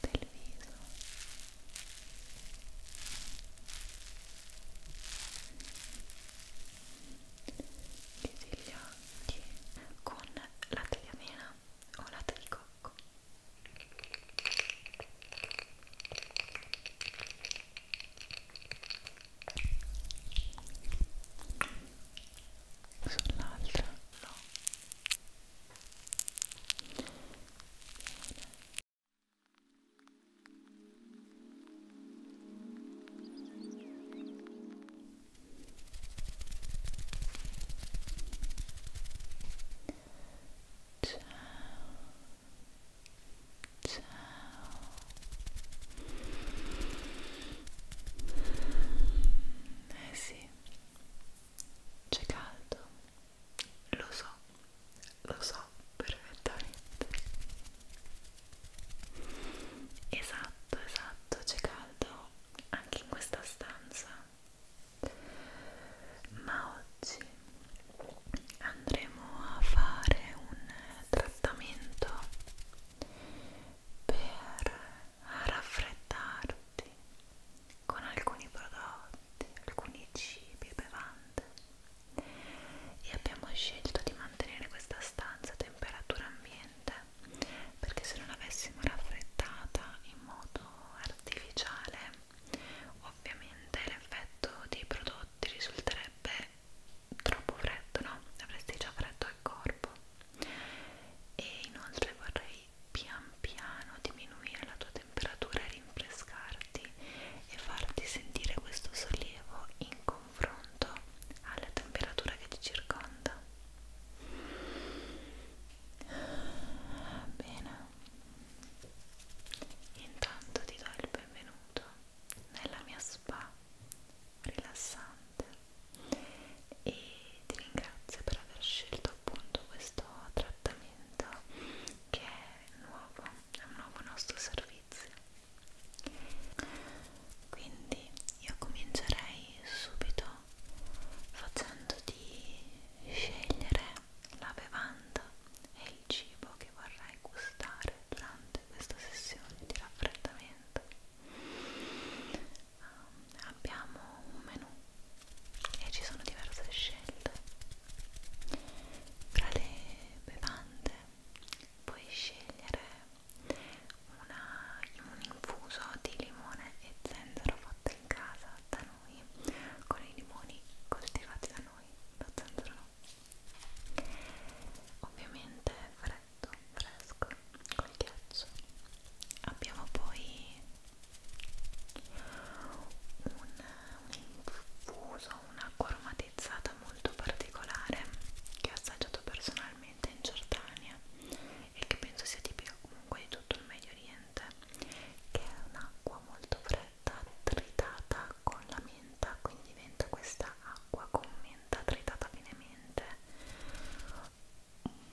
del viso chiudi gli occhi con latte di avena o latte di cocco sull'altra no Ciao Ciao Eh sì c'è caldo, lo so, lo so perfettamente. Esatto, esatto, c'è caldo anche in questa stanza. Ma oggi andremo a fare un trattamento per raffreddarti con alcuni prodotti, alcuni cibi e bevande e abbiamo scelto di mantenere questa stanza a temperatura ambiente perché se non avessimo raffreddata in modo artificiale ovviamente l'effetto dei prodotti risulterebbe troppo freddo, no? Avresti già freddo al corpo e inoltre vorrei puoi pian piano diminuire la tua temperatura e rinfrescarti e farti sentire questo sollievo in confronto alla temperatura che ti circonda. Bene, intanto ti do il benvenuto nella mia spa rilassante e ti ringrazio per aver scelto appunto questo trattamento che è nuovo, è un nuovo nostro servizio quindi io comincerei subito facendoti scegliere la bevanda e il cibo che vorrai gustare durante questa sessione di raffreddamento um, abbiamo un menu e ci sono diverse scelte tra le bevande puoi scegliere una, un infuso di limone e zenzero fatto in casa da noi con i limoni coltivati da noi lo zenzero no ovviamente freddo, fresco, col ghiaccio abbiamo poi un, un infuso, un'acqua aromatizzata molto particolare che ho assaggiato personalmente in Giordania e che penso sia tipica comunque di tutto il Medio Oriente che è un'acqua molto fredda tritata con la menta quindi diventa questa acqua con menta tritata finemente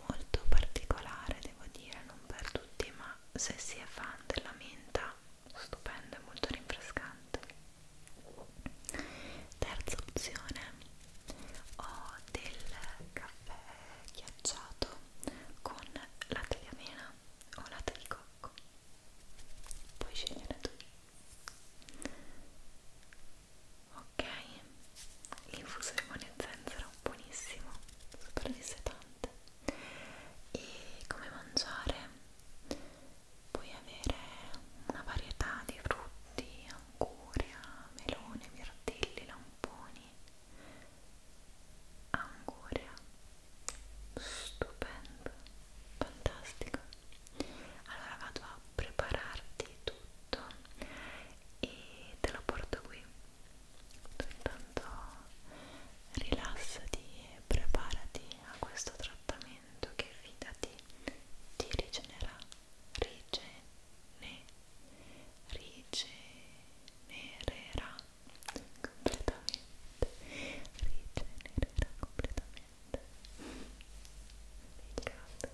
molto particolare devo dire, non per tutti ma se si è fan della menta stupendo e molto rinfrescante terza opzione ho del caffè ghiacciato con latte di avena o latte di cocco puoi scegliere tu ok l'infuso rimane in zenzero buonissimo super dissetante e come mangiare puoi avere una varietà di frutti anguria, melone, mirtilli, lamponi anguria stupendo fantastico allora vado a prepararti tutto e te lo porto qui tu intanto rilassati e preparati a questo trattamento che fidati ti rigenererà rigene rigenererà completamente rigenererà completamente Ricordo.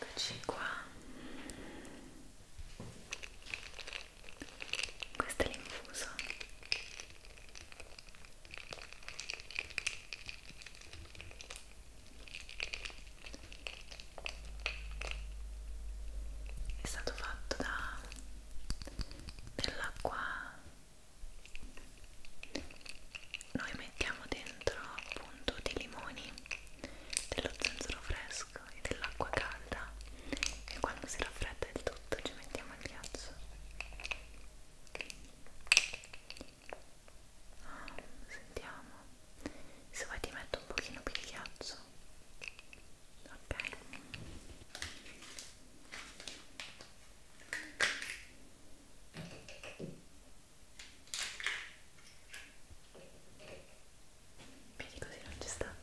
Eccoci qua. Questo è l'infuso. È stato fatto da dell'acqua noi mettiamo dentro appunto dei limoni, dello zenzero fresco e dell'acqua calda e quando si raffredda il tutto ci mettiamo il ghiaccio. Ah, sentiamo, se vuoi ti metto un pochino più di ghiaccio. Ok. Vedi così non ci sta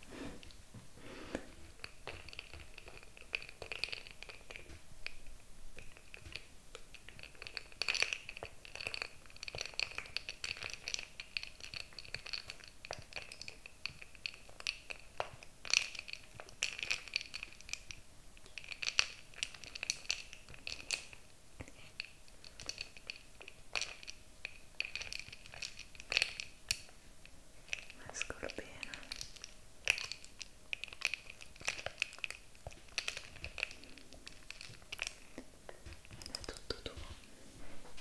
una scorpione ed è tutto tuo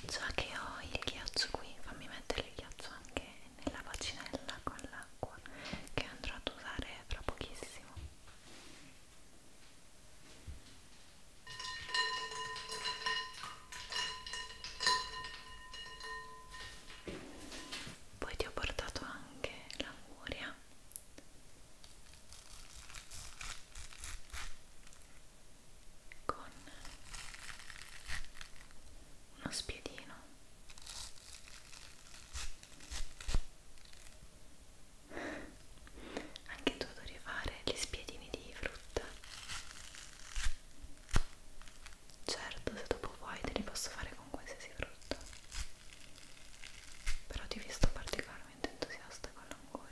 già che ho il ghiaccio qui fammi mettere il ghiaccio anche nella bacinella con l'acqua che andrò ad usare fra pochissimo poi ti ho portato anche la furia. Con uno spiedino anche tu devi fare gli spiedini di frutta. Certo, se dopo vuoi te li posso fare con qualsiasi frutta. Però ti ho visto particolarmente entusiasta con l'anguria.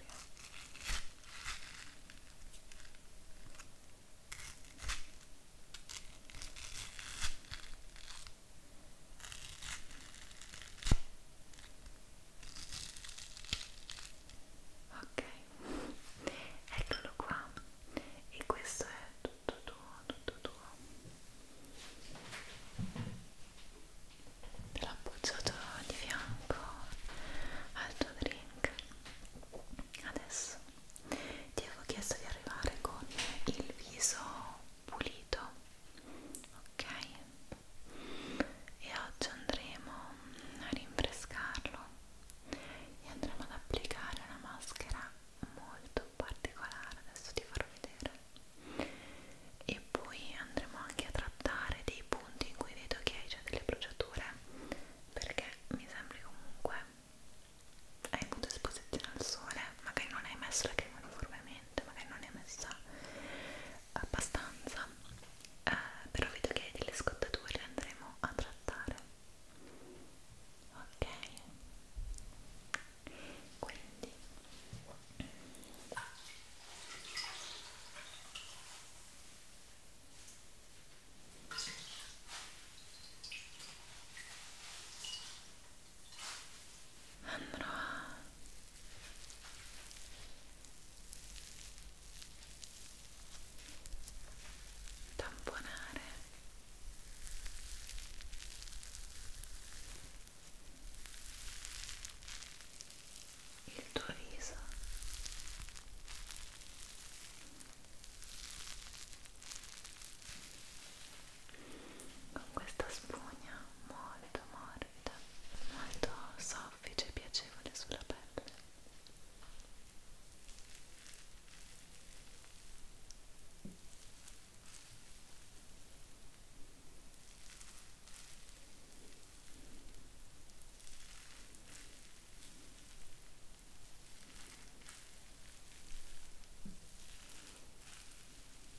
Ok, eccolo qua. E questo è tutto tuo, tutto tuo. Te l'ho appoggiato di fianco al tuo drink. Adesso ti avevo chiesto di arrivare con il viso pulito ok e oggi andremo a rinfrescarlo e andremo ad applicare una maschera molto particolare adesso ti farò vedere e poi andremo anche a trattare dei punti in cui vedo che hai già delle bruciature perché mi sembri comunque hai avuto esposizione al sole magari non hai messo la crema uniformemente niente, magari non ne ho messa abbastanza eh, però vedo che hai delle scottature le andremo a trattare ok quindi ok andrò a tamponare il tuo viso con questa spugna molto morbida, molto soffice e piacevole sulla pelle. Ecco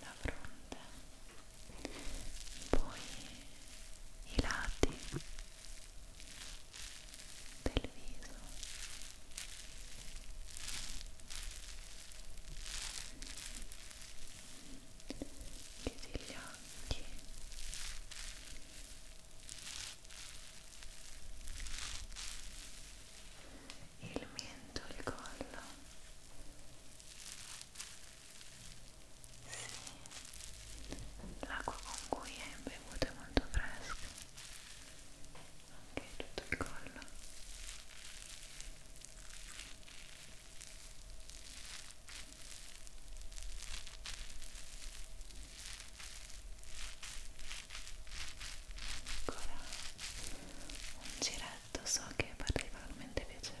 la fronte poi i lati del viso chiudi gli occhi e il mento, il collo sì, l'acqua con cui è imbevuta è molto fresca anche tutto il collo ancora un girato letto so che è particolarmente piacevole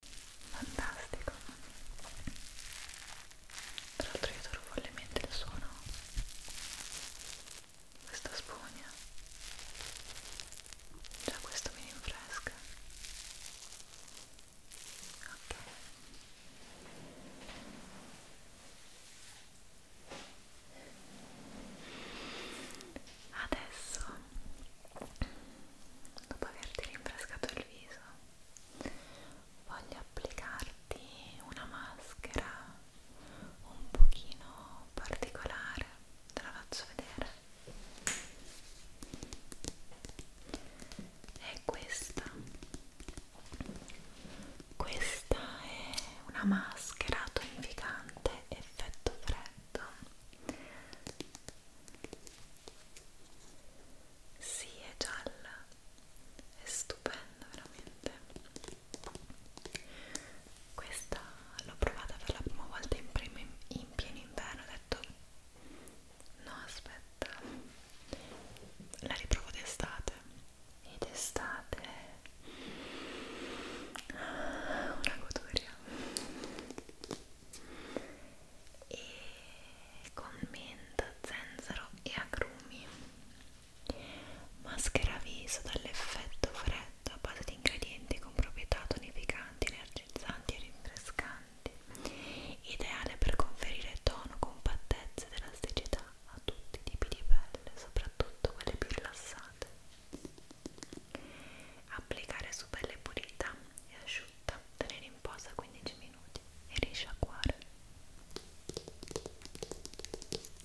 fantastico tra l'altro io trovo follemente il suono questa spugna già questo mi rinfresca ok adesso dopo averti rinfrescato il viso voglio applicarti una maschera un pochino particolare te la faccio vedere è questa questa è una maschera tonificante effetto freddo sì, è gialla, è stupenda veramente. Questa l'ho provata per la prima volta in, prima, in pieno inverno, ho detto no aspetta, la riprovo d'estate ed d'estate ah, una goduria e commenta zenzero e agrumi maschera viso dall'effetto freddo a base di ingredienti con proprietà tonificanti, energizzanti e rinfrescanti ideale per conferire tono, compattezza ed elasticità a tutti i tipi di pelle, soprattutto quelle più rilassate applicare su pelle pulita e asciutta, tenere in posa 15 minuti e risciacquare.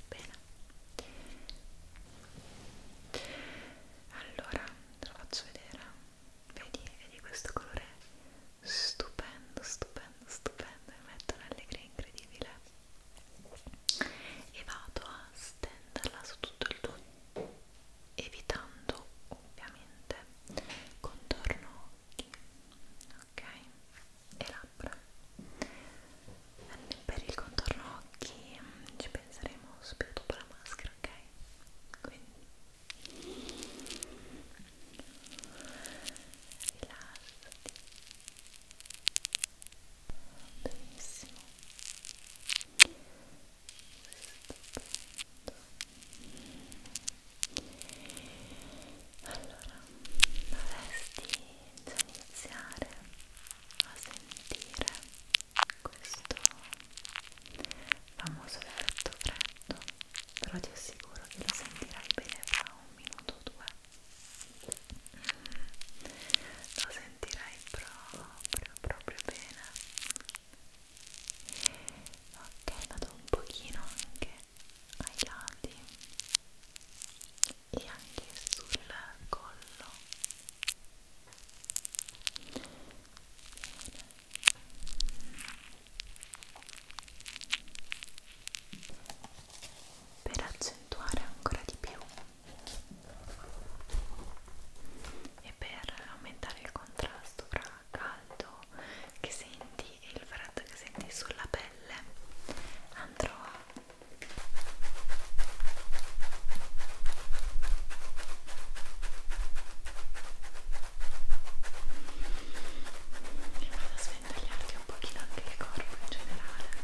Bene. Allora, te lo faccio vedere. Vedi, vedi questo colore stupendo, stupendo, stupendo, mi mette un'allegria incredibile. E vado a stenderla su tutto il tuo evitando ovviamente contorno occhi ok e labbra per il contorno occhi mm, ci penseremo subito dopo la maschera ok quindi rilassati benissimo allora dovresti già iniziare a sentire questo famoso effetto freddo però ti assicuro che lo sentirai bene fra un minuto o due mm. lo sentirai proprio proprio bene ok vado un pochino anche ai lati e anche sul collo Bene. per accentuare ancora di più e per aumentare il contrasto tra il caldo che senti e il freddo che senti sulla pelle andrò a e vado a sventagliarti un pochino anche il corpo in generale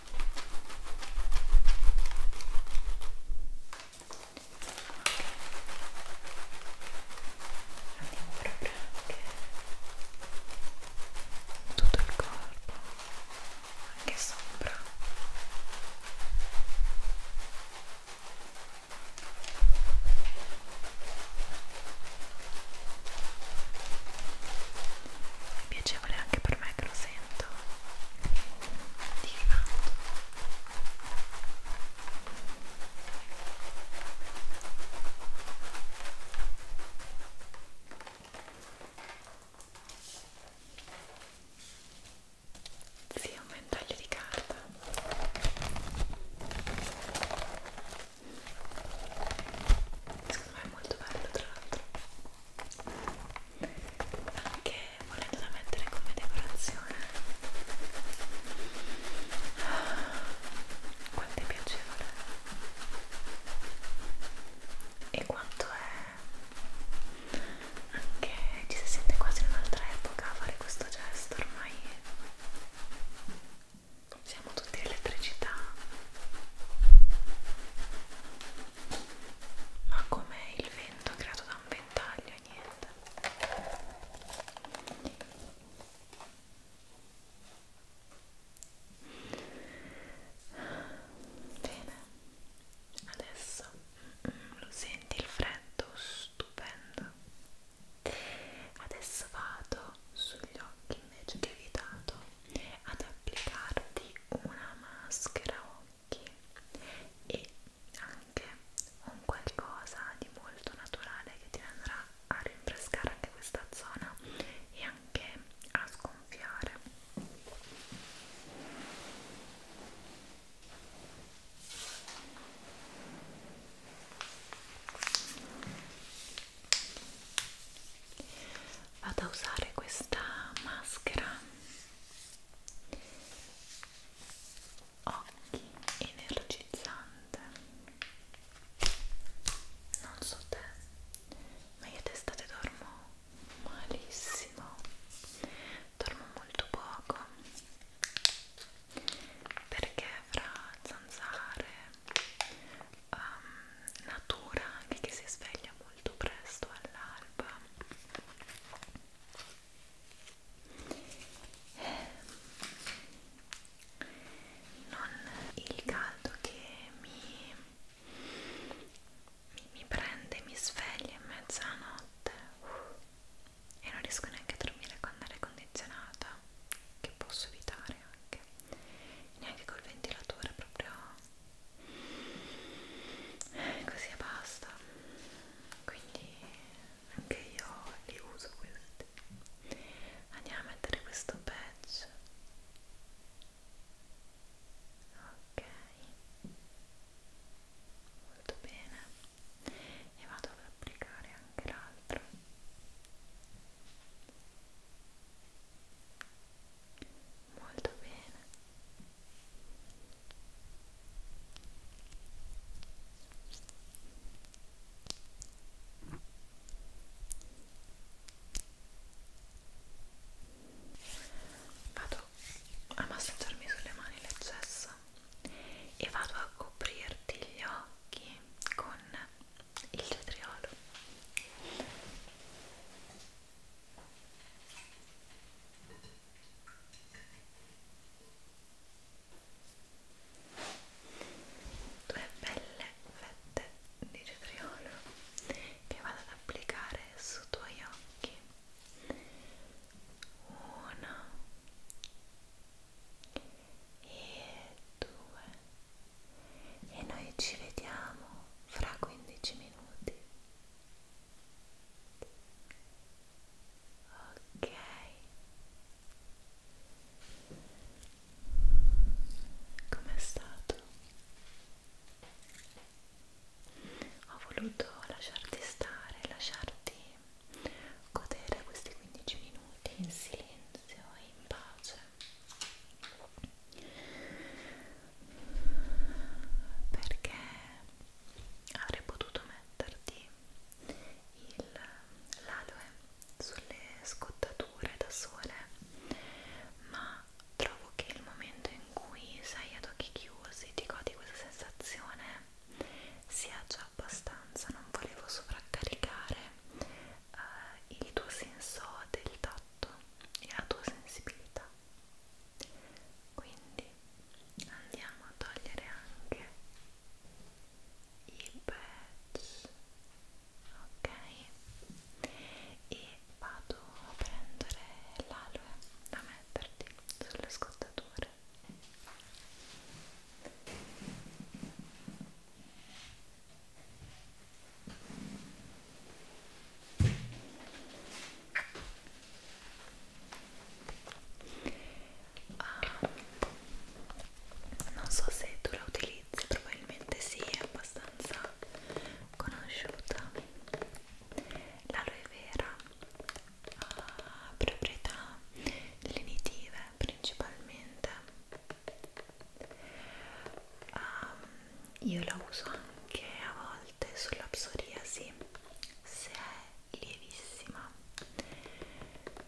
andiamo proprio anche tutto il corpo anche sopra è piacevole anche per me che lo sei momento di canto sì, un ventaglio di carta secondo me è molto bello tra l'altro anche volendo da mettere come decorazione ah, quanto è piacevole e quanto è anche ci si sente quasi in un'altra epoca a fare questo gesto ormai siamo tutti in elettricità ma com'è il vento creato da un ventaglio niente bene adesso mm, lo senti il freddo stupendo adesso vado sugli occhi invece che vi dato ad applicarti una maschera occhi e anche un qualcosa di molto naturale che ti andrà a rinfrescare anche questa zona e anche a sgonfiare vado a usare questa maschera occhi energizzante non so te ma io d'estate dormo malissimo dormo molto poco perché fra zanzare um, natura anche che si sveglia molto presto all'alba non il caldo che mi, mi, mi prende, mi sveglia in mezzanotte uh, e non riesco neanche a dormire con l'aria condizionata che posso evitare anche neanche col ventilatore proprio così e basta quindi anche io li uso questi andiamo a mettere questo patch ok molto bene e vado ad applicare anche l'altro molto bene vado a massaggiarmi sulle mani l'eccesso e vado a coprirti gli occhi con il cetriolo due belle fette di cetriolo che vado ad applicare sui tuoi occhi uno e due e noi ci vediamo fra 15 minuti. Ok. Com'è stato? Ho voluto lasciarti stare, lasciarti godere questi 15 minuti in silenzio e in pace perché avrei potuto metterti l'aloe sulle scottature da sole ma trovo che il momento in cui sei ad occhi chiusi ti godi questa sensazione sia già abbastanza non volevo sovraccaricare eh, il tuo senso del tatto prodotto e la tua sensibilità quindi andiamo a togliere anche i pezzi ok e vado a prendere l'aloe da metterti sulle scottature Ah, non so se tu la utilizzi, probabilmente sì, è abbastanza conosciuta. L'aloe vera ha ah, proprietà lenitive principalmente. Um, io la uso anche a volte sulla psoriasi se è lievissima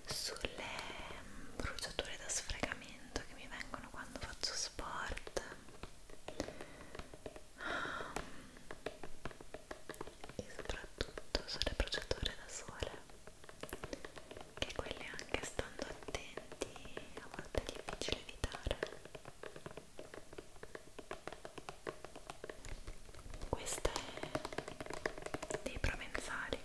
sulle mm, bruciature da sfregamento che mi vengono quando faccio sport e soprattutto sulle bruciature da sole che quelle anche stando attenti a volte è difficile evitare questa è dei provenzali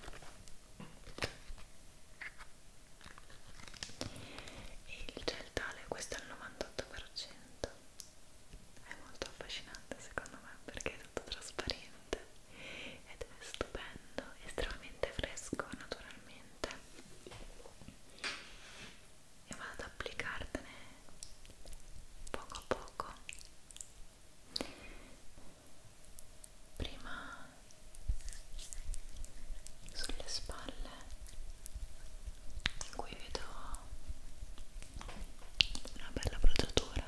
e il gel questo è al 98% è molto affascinante secondo me perché è tutto trasparente ed è stupendo estremamente fresco naturalmente velocemente e vado ad applicartene poco a poco prima sulle spalle in cui vedo una bella protratura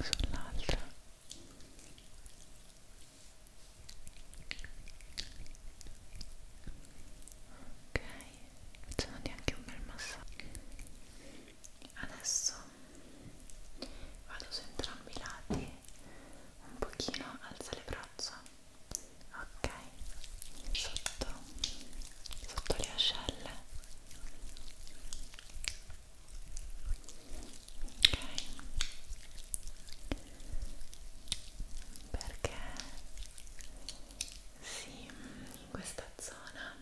sull'altra ok facciamoti anche un bel massaggio adesso vado su entrambi i lati un pochino alza le braccia ok sotto sotto le ascelle perché sì, in questa zona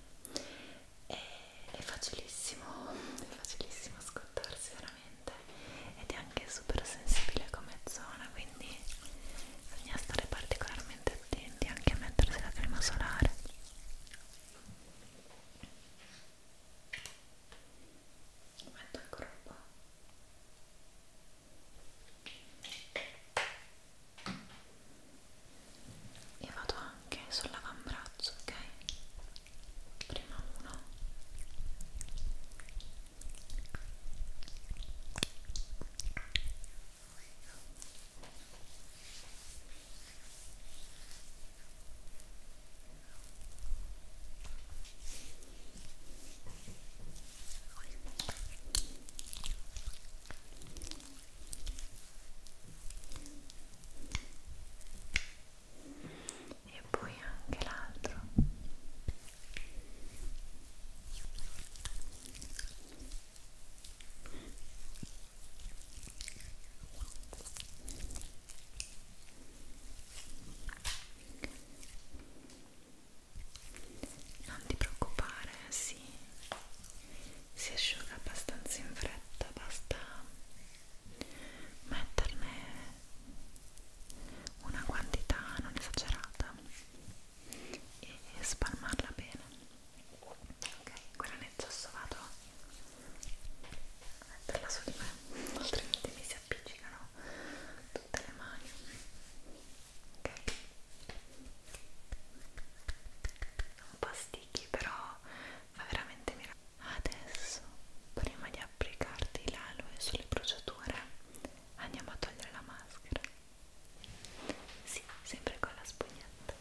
è, è facilissimo, è facilissimo scottarsi veramente ed è anche super sensibile come zona, quindi bisogna stare particolarmente tendi anche a mettersi la crema solare metto ancora un po' e vado anche sull'avambraccio ok prima uno e e poi anche l'altro non ti preoccupare, si, si asciuga abbastanza in fretta, basta metterne una quantità non esagerata e spalmarla bene ok, quella nel cesso vado a metterla su di me altrimenti mi si appiccicano tutte le mani ok un po' sticky però fa veramente miracolo adesso prima di applicarti l'aloe sulle bruciature andiamo a togliere la maschera sì, sempre con la spugnetta.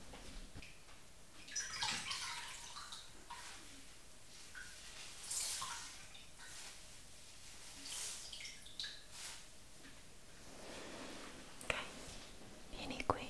Ok, vieni qui.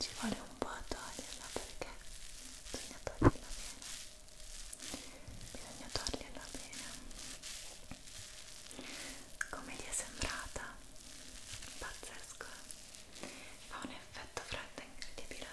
ci vuole un po' a toglierla perché bisogna toglierla bene bisogna toglierla bene come gli è sembrata pazzesco fa un effetto freddo incredibile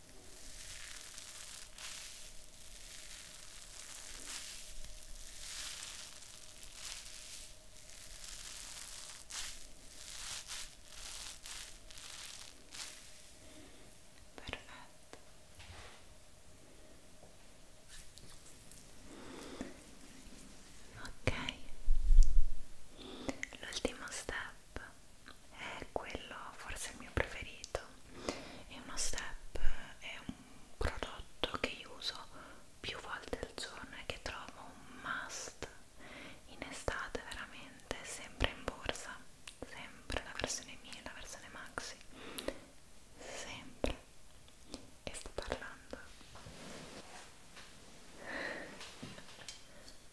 Perfetto. Ok. L'ultimo step step è quello forse il mio preferito è uno step è un prodotto che uso più volte al giorno e che trovo un must in estate veramente sempre in borsa sempre la versione mia la versione maxi sempre e sto parlando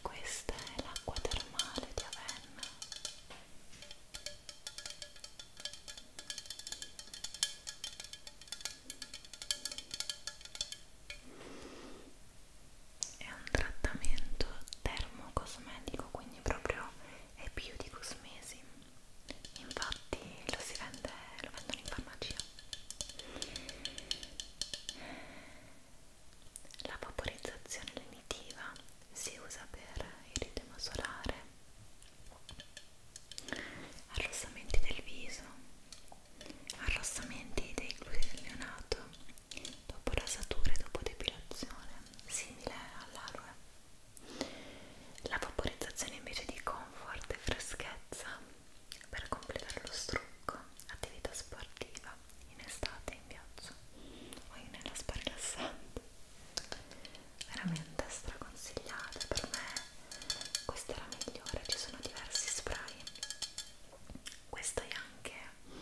Questa è l'acqua termale di Avenna. È un trattamento termocosmetico, quindi proprio è più di cosmesi infatti lo si vende, lo vendono in farmacia la vaporizzazione lenitiva si usa per eritema solare arrossamenti del viso arrossamenti dei glutei del neonato dopo rasature dopo depilazione simile all'aloe la vaporizzazione invece di comfort e freschezza per completare lo strucco, attività sportiva in estate, in piazza o in una spa rilassante. Veramente straconsigliata, per me questa è la migliore, ci sono diversi spray. Questa è anche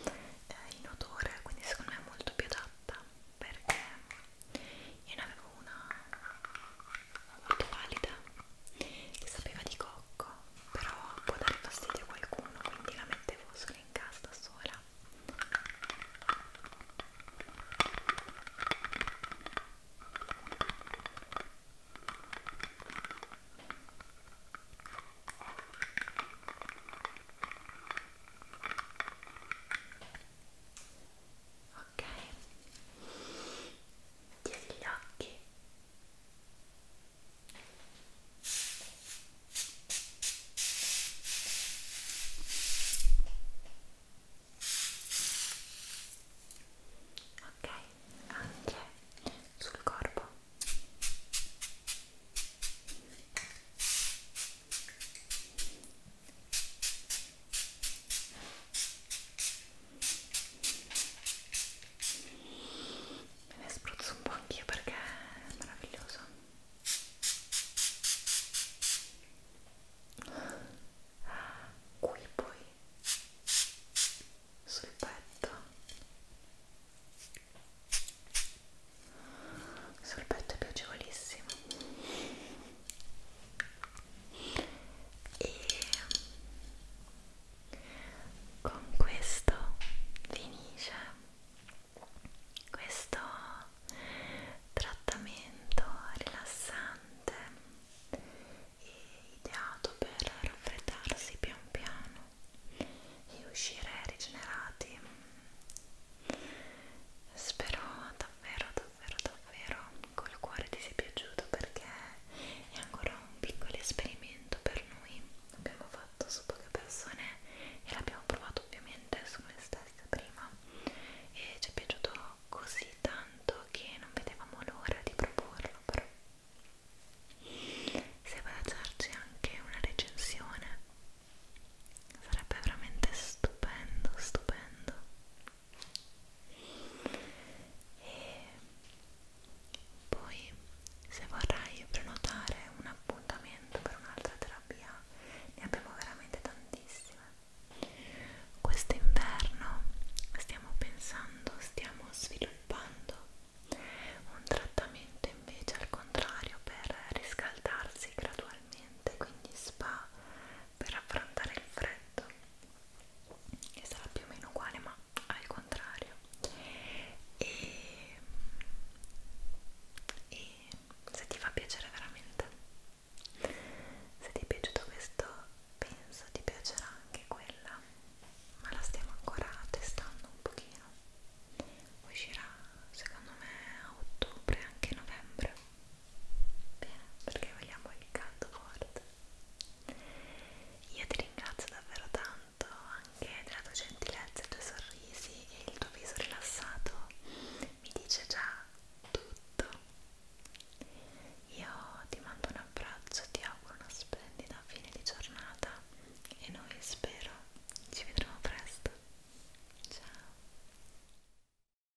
eh, in odore, quindi secondo me è molto più adatta perché io ne avevo una molto valida che sapeva di cocco, però può dare fastidio a qualcuno, quindi la mettevo solo in casa da sola ok chiudi gli occhi ok anche sul corpo me ne spruzzo un po' anch'io perché è meraviglioso qui poi sul petto sul petto è piacevolissimo e con questo finisce questo trattamento rilassante e ideato per raffreddarsi pian piano e uscire rigenerati spero davvero davvero davvero col cuore ti sia piaciuto perché è ancora un piccolo esperimento per noi l'abbiamo fatto su poche persone e l'abbiamo provato ovviamente su me stessa prima e ci è piaciuto così tanto che non vedevamo l'ora di proporlo però se vai a darci anche una recensione sarebbe veramente stupendo stupendo e poi se vorrai prenotare un appuntamento per un'altra terapia ne abbiamo veramente tantissime quest'inverno stiamo pensando stiamo sviluppando un trattamento invece al contrario per riscaldarsi gradualmente quindi spa per affrontare il freddo che sarà più o meno uguale ma al contrario e, e se ti fa piacere veramente se ti è piaciuto questo penso ti piacerà anche quella ma la stiamo ancora testando un pochino uscirà secondo me a ottobre anche novembre Bene, perché vogliamo il caldo forte. Io ti ringrazio davvero tanto anche della tua gentilezza, i tuoi sorrisi e il tuo viso rilassato mi dice già tutto. Io ti mando un abbraccio, ti auguro una splendida fine di giornata e noi spero ci vedremo presto. Ciao.